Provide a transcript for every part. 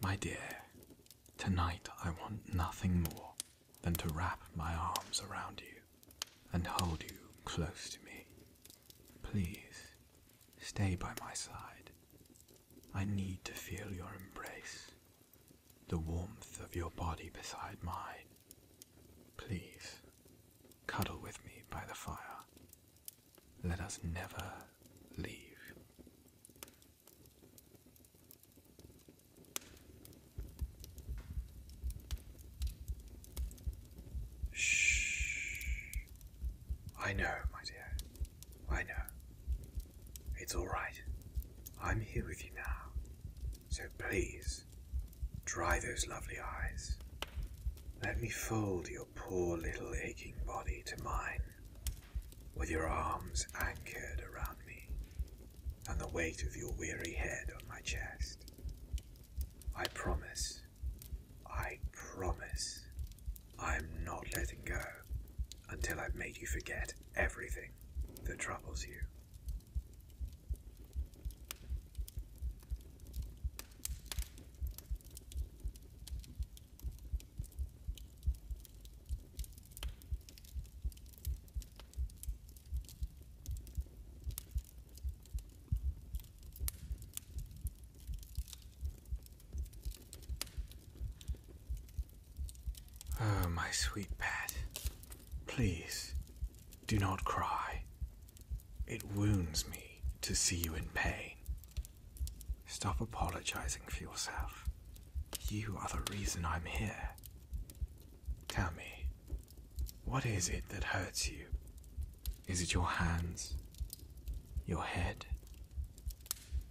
My dear, tonight I want nothing more than to wrap my arms around you and hold you close to me. Please, stay by my side. I need to feel your embrace, the warmth of your body beside mine, Please, cuddle with me by the fire. Let us never leave. Shh. I know, my dear. I know. It's all right. I'm here with you now. So please, Dry those lovely eyes. Let me fold your poor little aching body to mine, with your arms anchored around me, and the weight of your weary head on my chest. I promise, I promise, I am not letting go until I've made you forget everything that troubles you. Oh, my sweet pet, Please, do not cry. It wounds me to see you in pain. Stop apologizing for yourself. You are the reason I'm here. Tell me, what is it that hurts you? Is it your hands? Your head?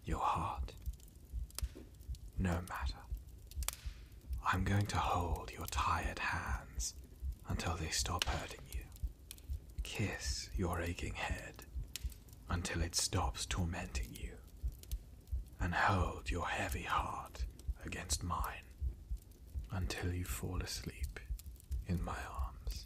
Your heart? No matter. I'm going to hold your tired hands until they stop hurting you. Kiss your aching head until it stops tormenting you. And hold your heavy heart against mine until you fall asleep in my arms.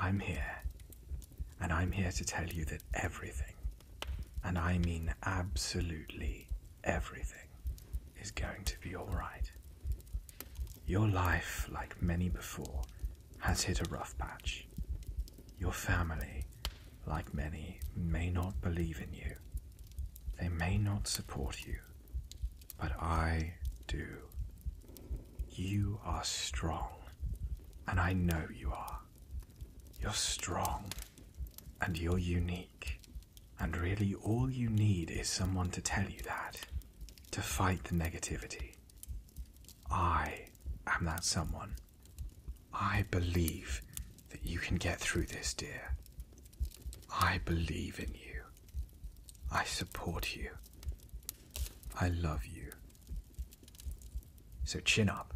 I'm here, and I'm here to tell you that everything and I mean absolutely everything, is going to be alright. Your life, like many before, has hit a rough patch. Your family, like many, may not believe in you. They may not support you, but I do. You are strong, and I know you are. You're strong and you're unique. And really, all you need is someone to tell you that, to fight the negativity. I am that someone. I believe that you can get through this, dear. I believe in you. I support you. I love you. So chin up,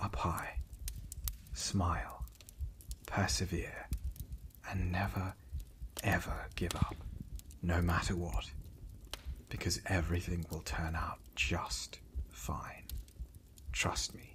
up high, smile, persevere, and never, ever give up, no matter what, because everything will turn out just fine. Trust me.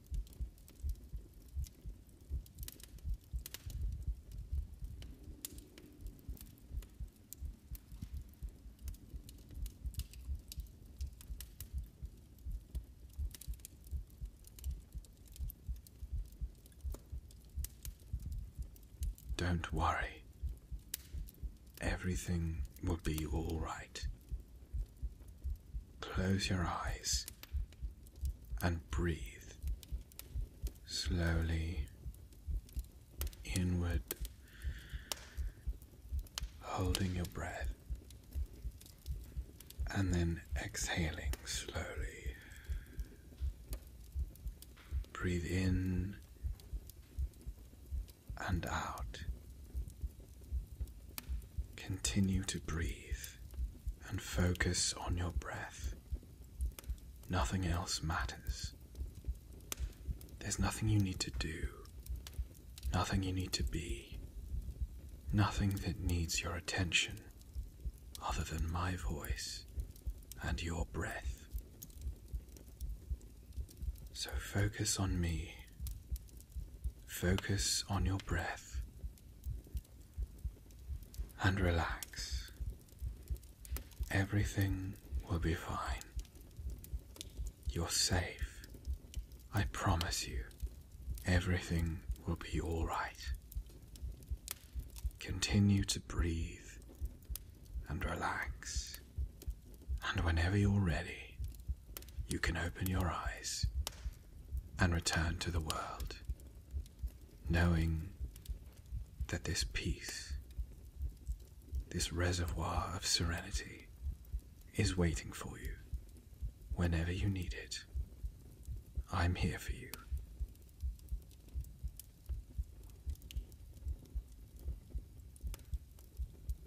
Don't worry. Everything will be all right. Close your eyes and breathe slowly inward, holding your breath, and then exhaling slowly. Breathe in and out Continue to breathe and focus on your breath. Nothing else matters. There's nothing you need to do, nothing you need to be, nothing that needs your attention other than my voice and your breath. So focus on me Focus on your breath and relax. Everything will be fine. You're safe. I promise you, everything will be alright. Continue to breathe and relax. And whenever you're ready, you can open your eyes and return to the world, knowing that this peace, this reservoir of serenity, is waiting for you whenever you need it. I'm here for you.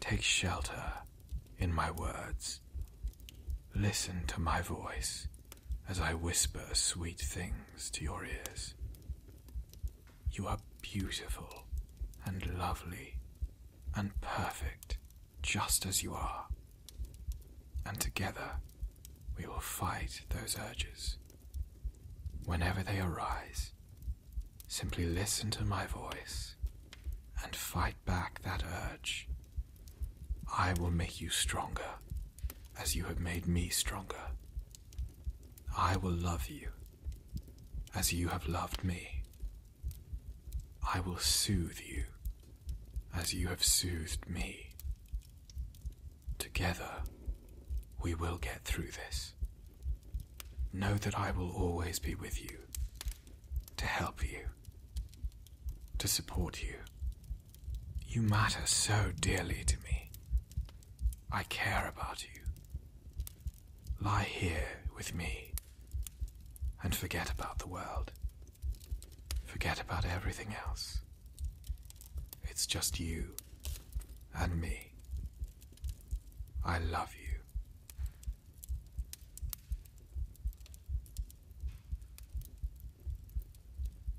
Take shelter in my words. Listen to my voice as I whisper sweet things to your ears. You are beautiful and lovely and perfect just as you are. And together we will fight those urges. Whenever they arise, simply listen to my voice and fight back that urge. I will make you stronger as you have made me stronger. I will love you as you have loved me. I will soothe you as you have soothed me. Together, we will get through this. Know that I will always be with you, to help you, to support you. You matter so dearly to me. I care about you. Lie here with me and forget about the world. Forget about everything else. It's just you and me. I love you.